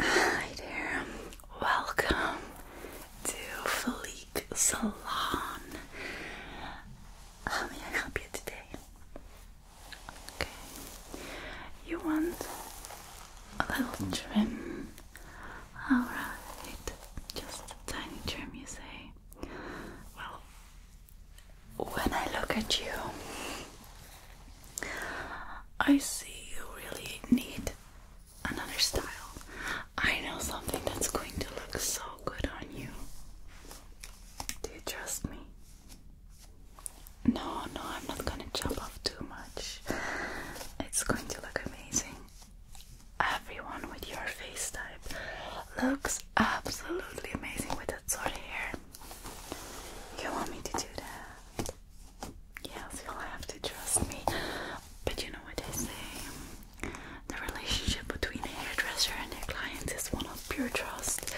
Hi there, welcome to Felique Salon. How may I help you today? Okay, you want a little trim? Alright, just a tiny trim, you say? Well, when I look at you, I see you really need another style. I know something that's going to look so good on you. Do you trust me? No, no, I'm not gonna chop off too much. It's going to look amazing. Everyone with your face type looks absolutely amazing with that sort of hair. You want me to do that? Yes, you'll have to trust me. But you know what they say? The relationship between a hairdresser and their clients is one of pure trust.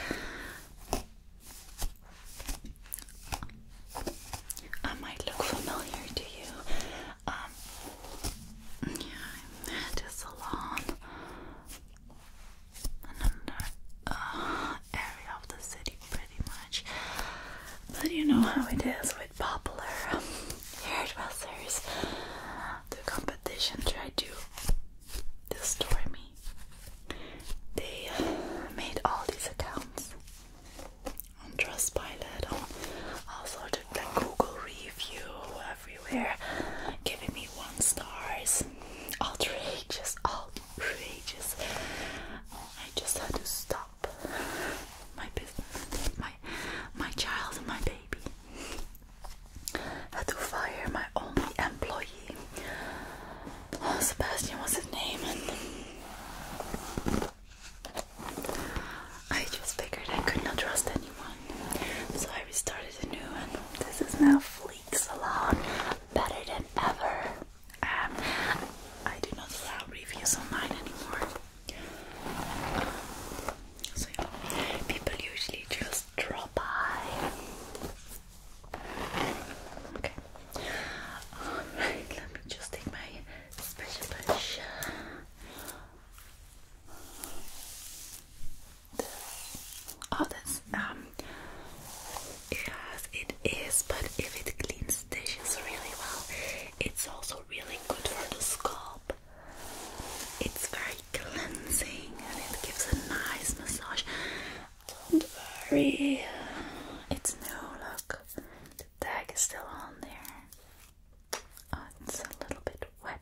I might look familiar to you. Um, I'm at a salon another uh, area of the city, pretty much. But you know how it is with popular hairdressers. The competition tried to destroy me. They made all these accounts on Trustpilot, on all sorts of Google review everywhere, giving me one stars, outrageous, all outrageous. I just had to stop my business, my my child, and my baby. Had to fire my only employee. Oh, Sebastian was his name, I just figured I could not trust anyone, so I restarted a new one. this is now Fleek Salon better than ever. Um, I do not allow reviews online anymore. so know, people usually just drop by. Okay. Alright, let me just take my special brush. This. Oh, um Yes, it is, but if it cleans dishes really well, it's also really good for the scalp. It's very cleansing and it gives a nice massage. Don't worry, it's no Look, the tag is still on there. Oh, it's a little bit wet,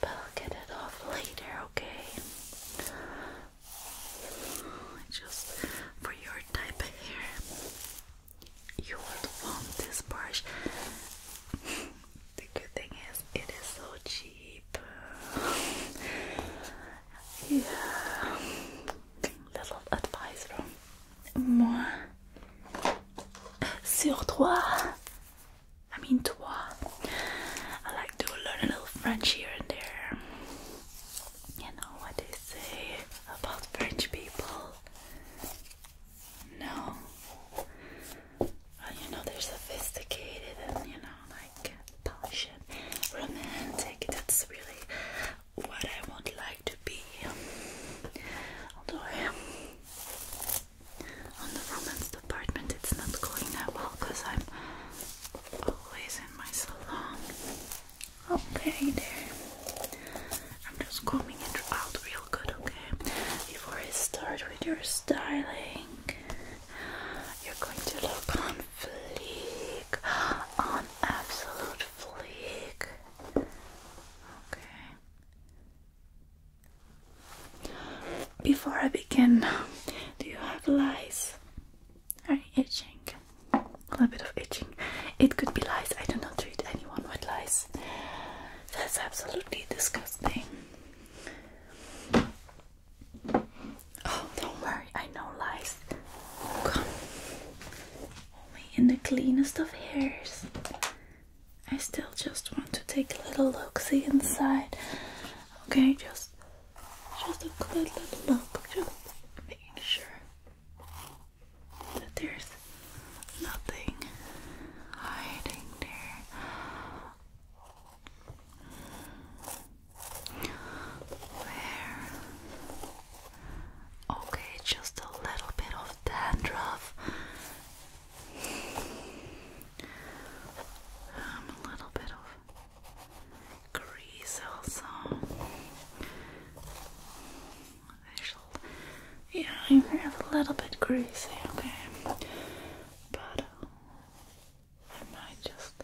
but I'll get it off later, okay? just for your type of hair, you would want this brush. the good thing is, it is so cheap. yeah, little advice from moi. Sur toi, I mean toi. I like to learn a little French here and there. You know what they say about French people? No. you know, they're sophisticated and, you know, like polished, romantic. That's really what I would like to be. Although, um, on the romance department, it's not going that well because I'm always in my salon. Okay, dear. I'm just combing it out real good, okay? Before I start with your styling, you're going to look on fleek, on absolute fleek. Okay. Before I begin, do you have lice? Alright, itching. A little bit of itching. It could be lice. I do not treat anyone with lice. That's absolutely disgusting. Oh, don't worry. I know lice. Come. Only in the cleanest of hairs. I still just want to take a little look, see inside. Okay, just just include that up, just making sure that there's nothing hiding there. There. Okay, just a little bit of dandruff. Um, a little bit of Greasy also. yeah, I'm a little bit greasy, okay? But uh, I might just.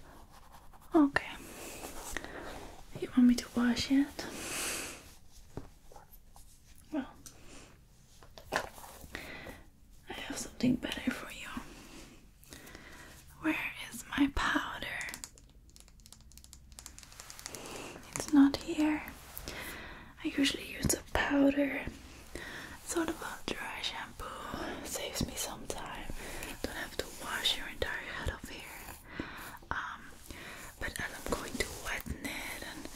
Okay. You want me to wash it? Well, I have something better for you. Where is my powder? It's not here. I usually use a powder. Sort of a dry shampoo. Saves me some time. Don't have to wash your entire head of hair. Um, but as I'm going to wet it and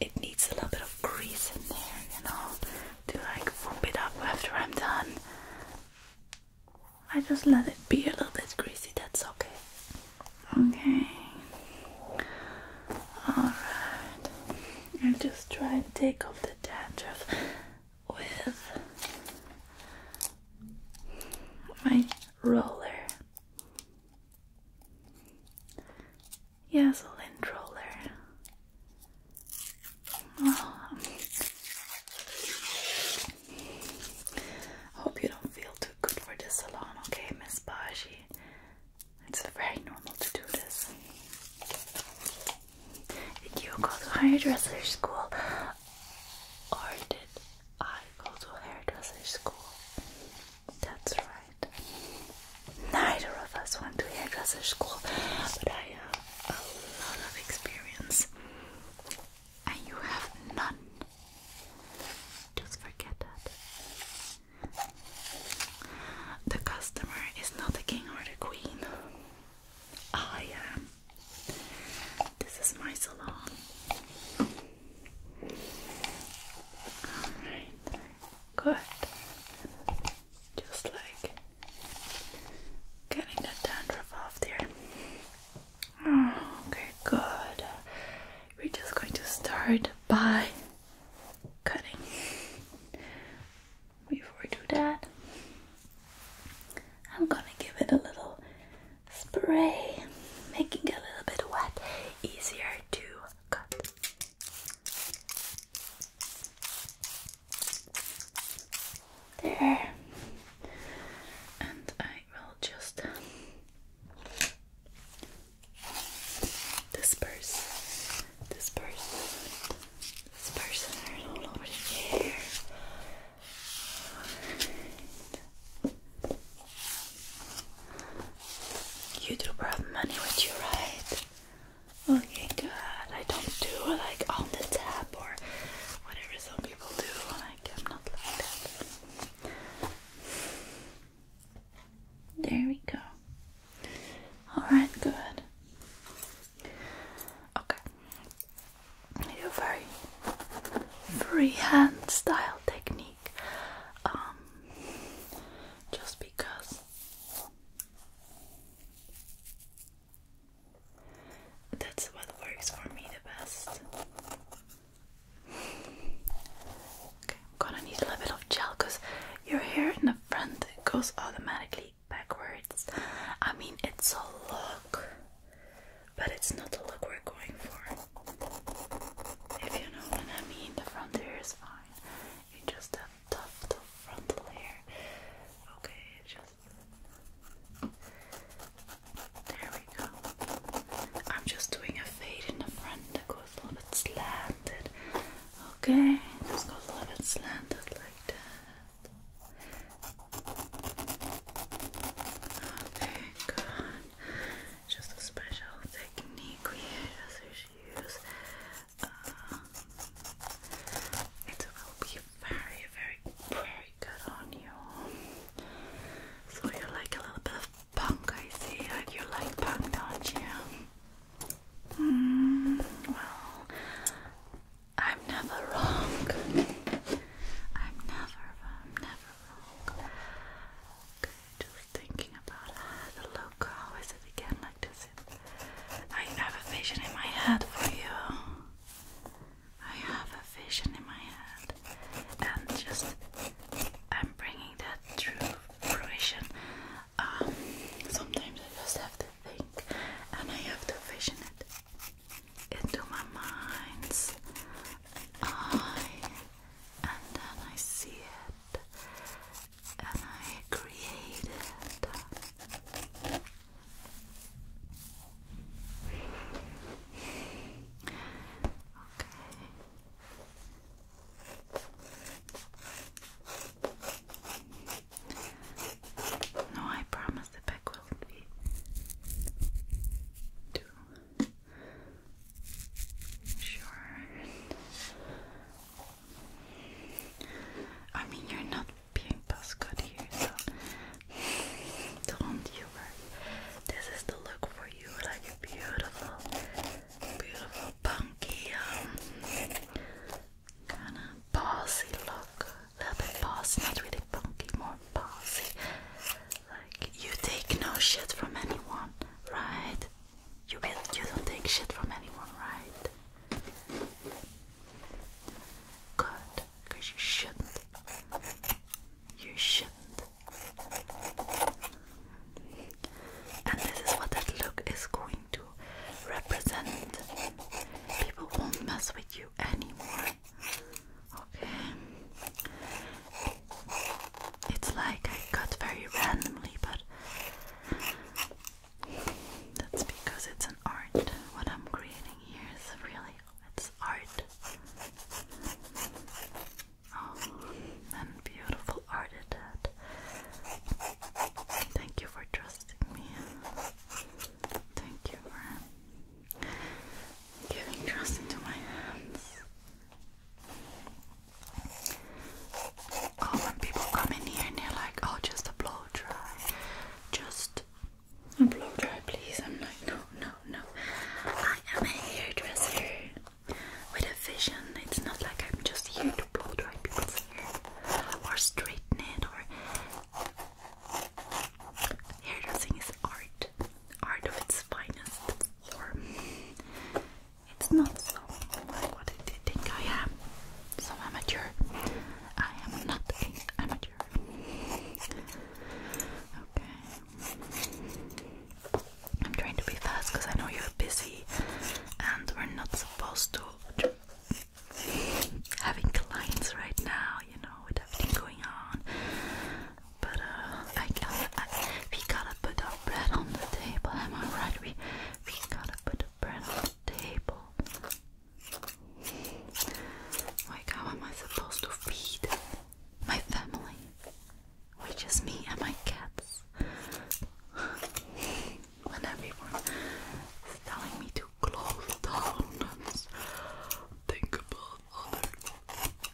it needs a little bit of grease in there, you know to like whoop it up after I'm done. I just let it be a little bit greasy, that's okay. Okay. Alright. I just try and take off the dandruff with my roller. Yes, a lint roller. Hope you don't feel too good for this salon, okay, Miss Baji? It's very normal to do this. Did you go to hairdresser school? Or did I go to hairdresser school? That's right. Neither of us went to hairdresser school, but I uh, a lot of experience and you have none. Just forget that. The customer is not the king or the queen. I am. This is my salon. Alright. Good. Just like Getting that dandruff off there. Oh, okay, good. We're just going to start by cutting. Before we do that, I'm gonna give it a little spray, making it a little bit wet, easier to cut. There. And I will just disperse, disperse, disperse it all over the hair. You do problem money with you, right? Okay, good. I don't do like on the tap or whatever some people do. Like I'm not like that. There we go. Alright, good. Okay. Your very freehand style technique. Um just because that's what works for me the best. Okay, I'm gonna need a little bit of gel because your hair in the front goes automatically backwards. I mean, it's a look, but it's not the look we're going for. If you know what I mean, the front hair is fine. You just have top, top frontal hair. Okay, just there we go. I'm just doing a fade in the front that a little bit slanted. Okay, just a little bit slanted like that. Okay, good. Just a special technique we just use uh, it will be very, very, very good on you. So you like a little bit of punk, I see. Like uh, you like punk, don't you? Hmm, well, I'm never wrong. I'm never, never wrong. Okay, just thinking about uh, the logo. How is it again? I have a vision in my head for you. I have a vision in my head, and just I'm bringing that true fruition. Um, sometimes I just have to think, and I have to vision it into my mind's and then I see it, and I created okay no I promise the back will be sure I mean, you're not being past good here, so don't you worry. This is the look for you, like a beautiful, beautiful punky, um, kind of bossy look. A little bit bossy, not really punky, more bossy. Like you take no shit from anyone, right? You you don't take shit from anyone, right? Good, because you shouldn't. You shouldn't. And this is what that look is going to represent. People won't mess with you anymore. Okay. It's like I cut very randomly, but that's because it's an art. What I'm creating here is really it's art. Oh, and beautiful art it had. Thank you for trusting me. Thank you for giving trust into my hands. Oh, when people come in here and they're like, oh, just a blow dry, just a blow dry, please. I'm like, no, no, no. I am a hairdresser with a vision. It's not like I'm just here to blow dry people's hair or straighten it or. Hairdressing is art, art of its finest form. It's not so like what I think I am some amateur. I am not a amateur. Okay. I'm trying to be fast because I know you're busy and we're not supposed to having clients right now, you know, what with everything going on. But uh, we gotta put our bread on the table. Am I right? We we gotta put print on the table. Like, how am I supposed to feed my family? Which is me and my cats. when everyone is telling me to close down and think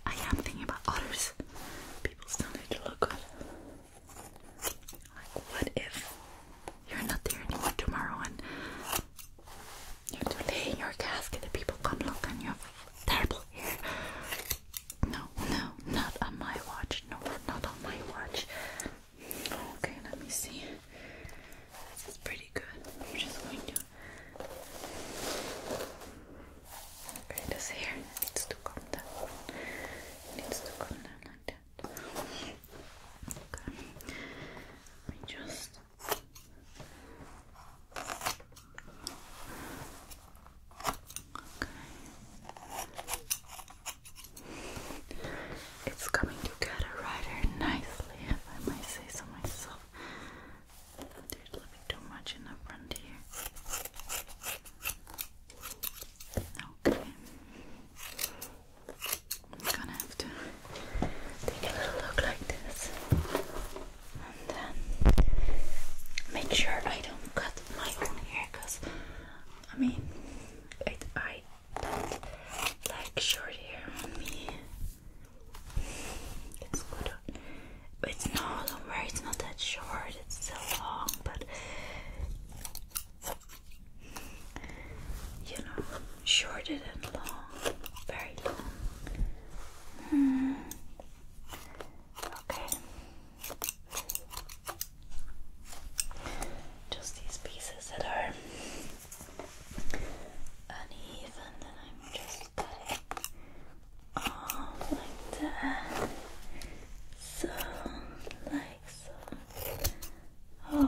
I am thinking about others. People still need to look good. Like, what if you're not there anymore tomorrow and you're delaying lay in your casket and people come look and you are terrible hair? No, no, not on my watch. No, not on my watch. Okay, let me see. This is pretty good. I'm just going to. Okay, this hair needs to come down. needs to come down like that. Okay. Let me just Okay. It's coming together rather nicely, if I might say so myself. There's a little bit too much in the front here. Okay. I'm gonna have to take a little look like this and then make sure I don't cut my own hair because I mean I don't like short hair on me it's good it's no, don't worry, it's not that short, it's so long but you know, shorter than long, very long. Hmm. Okay. Just these pieces that are uneven, and I'm just cutting off like that. So, like Oh,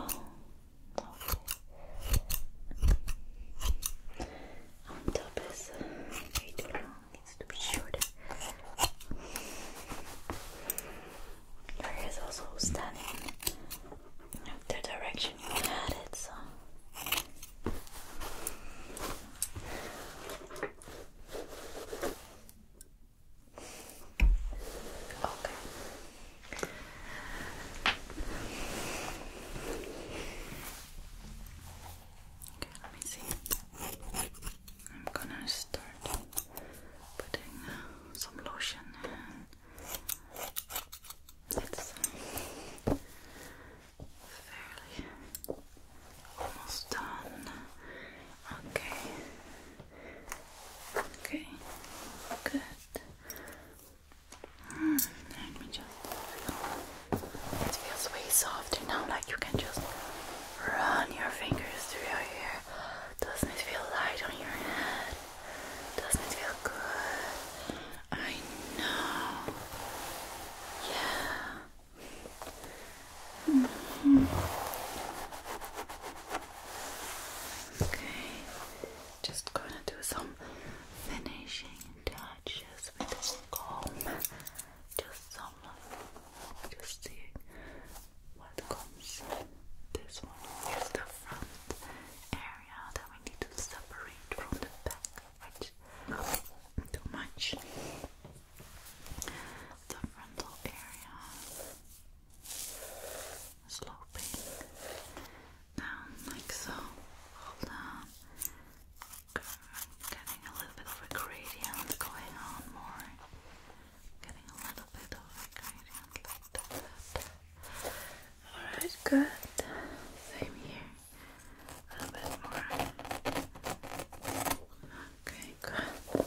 On top is too long, needs to be shorter. Your also standing the direction you had so. Okay. Okay, let me see. I'm gonna start putting some lotion It's fairly almost done. Okay. Okay, good. Mm, let me just. It feels way softer now, like you can just run your fingers through your hair. Doesn't it feel light on your head? Doesn't it feel good? I know. Yeah. Okay, just gonna do some finishing touches with the comb. Just some, just see what comes. This one is the front area that we need to separate from the back, too much. The frontal area sloping down like so. Hold on. Getting a little bit of gradient going on more. Getting a little bit of gradient like that. Alright, good. Same here. A little bit more. Okay, good.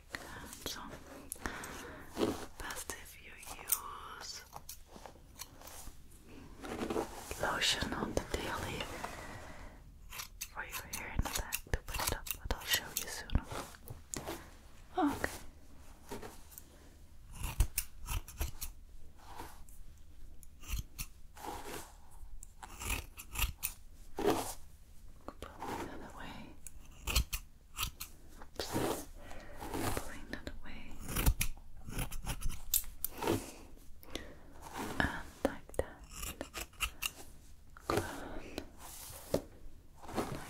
like that. So, best if you use lotion on the daily for your hair in the to put it up, but I'll show you soon. Okay. Pulling that away. Pulling that away. And like that. Clone.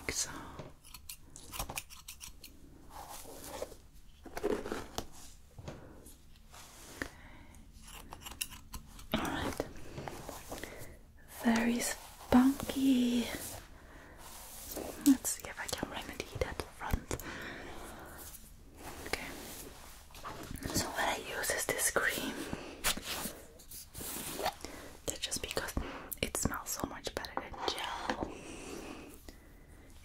Like so. Alright very funky. Let's see if I can remedy that front. Okay. So what I use is this cream. just because it smells so much better than gel.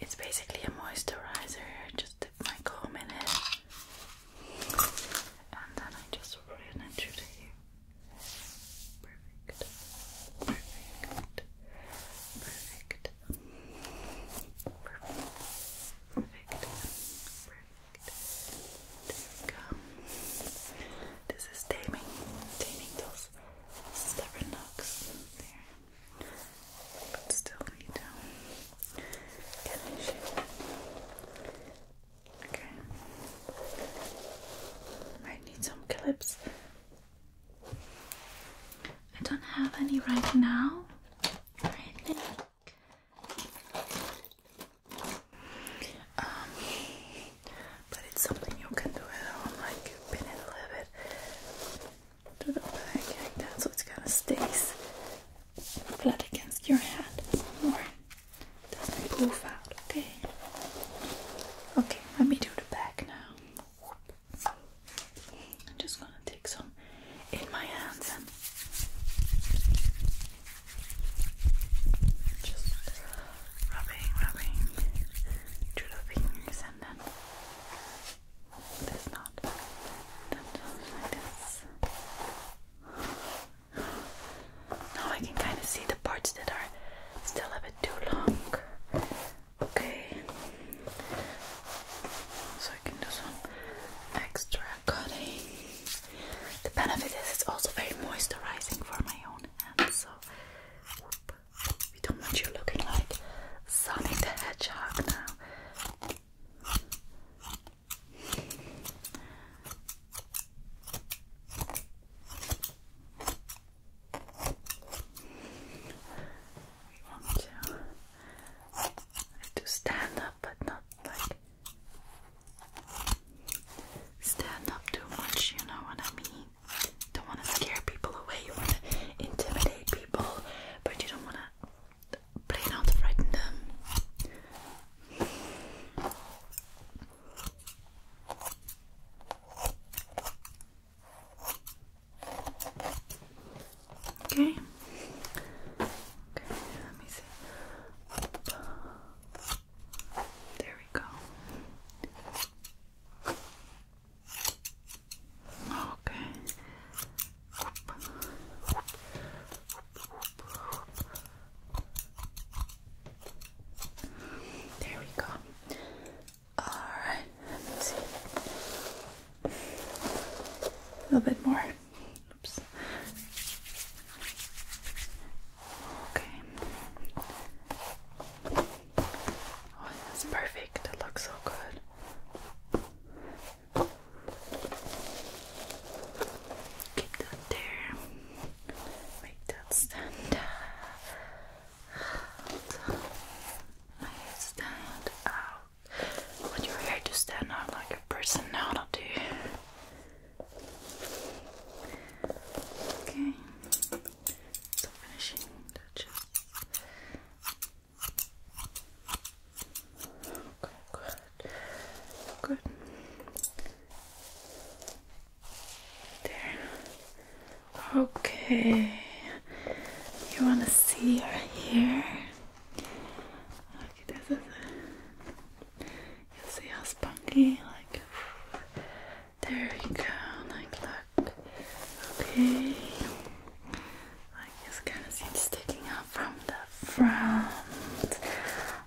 It's basically a moisturizer. Just dip my comb in it and then I just run it through Perfect. Perfect. Perfect. Perfect. Perfect. Perfect. This is taming. Taming those stubborn knocks. There. But still need to get a shape. Okay. Might need some clips. I don't have any right now. Um, but it's something you can do at home, like pin it a little bit to the back like that, so it kind of stays flat against your head more doesn't okay? Okay, let me do the back now. I'm just gonna take some in my hands and just rubbing, rubbing through the fingers and then this knot. Then just like this. Now I can kind of see the parts that are still a bit too long. Okay, so I can do some extra cutting. The benefit is it's also very moisturizing for my own hands, so we don't want you looking like Sonic the Hedgehog now want to to stand up, but not like stand up too much. You know what I mean? Don't want to scare people away. You want to intimidate people, but you don't want to Play not frighten them. Okay. Okay, let me see. There we go. Okay. There we go. Alright, let me see. A little bit more. Oops. Okay. Oh, that's perfect. It looks so good. Keep that there. Make that stand Make it stand out. Want your hair to stand out like a personality. Okay. finishing touches. Okay, good. Good. There. Okay. You wanna see her here? Okay, this is it. You see how spunky? Like there you go, like look. Okay. Like this kind of sticking out from the front.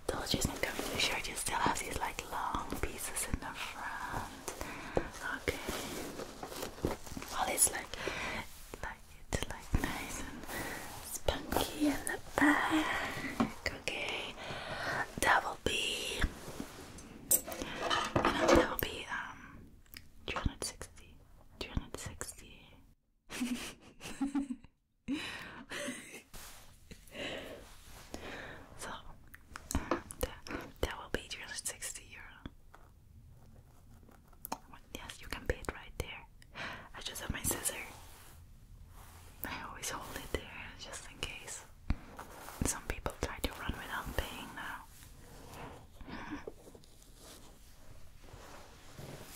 Told you it's not coming to shirt, you still have these like long pieces in the front. Okay. Well it's like like it's like nice and spunky in the back. Okay. That will be you know that will be um Two hundred sixty. 360. so that, will be 360 euro. yes, you can pay it right there. I just have my scissors. I always hold it there just in case. Some people try to run without paying now.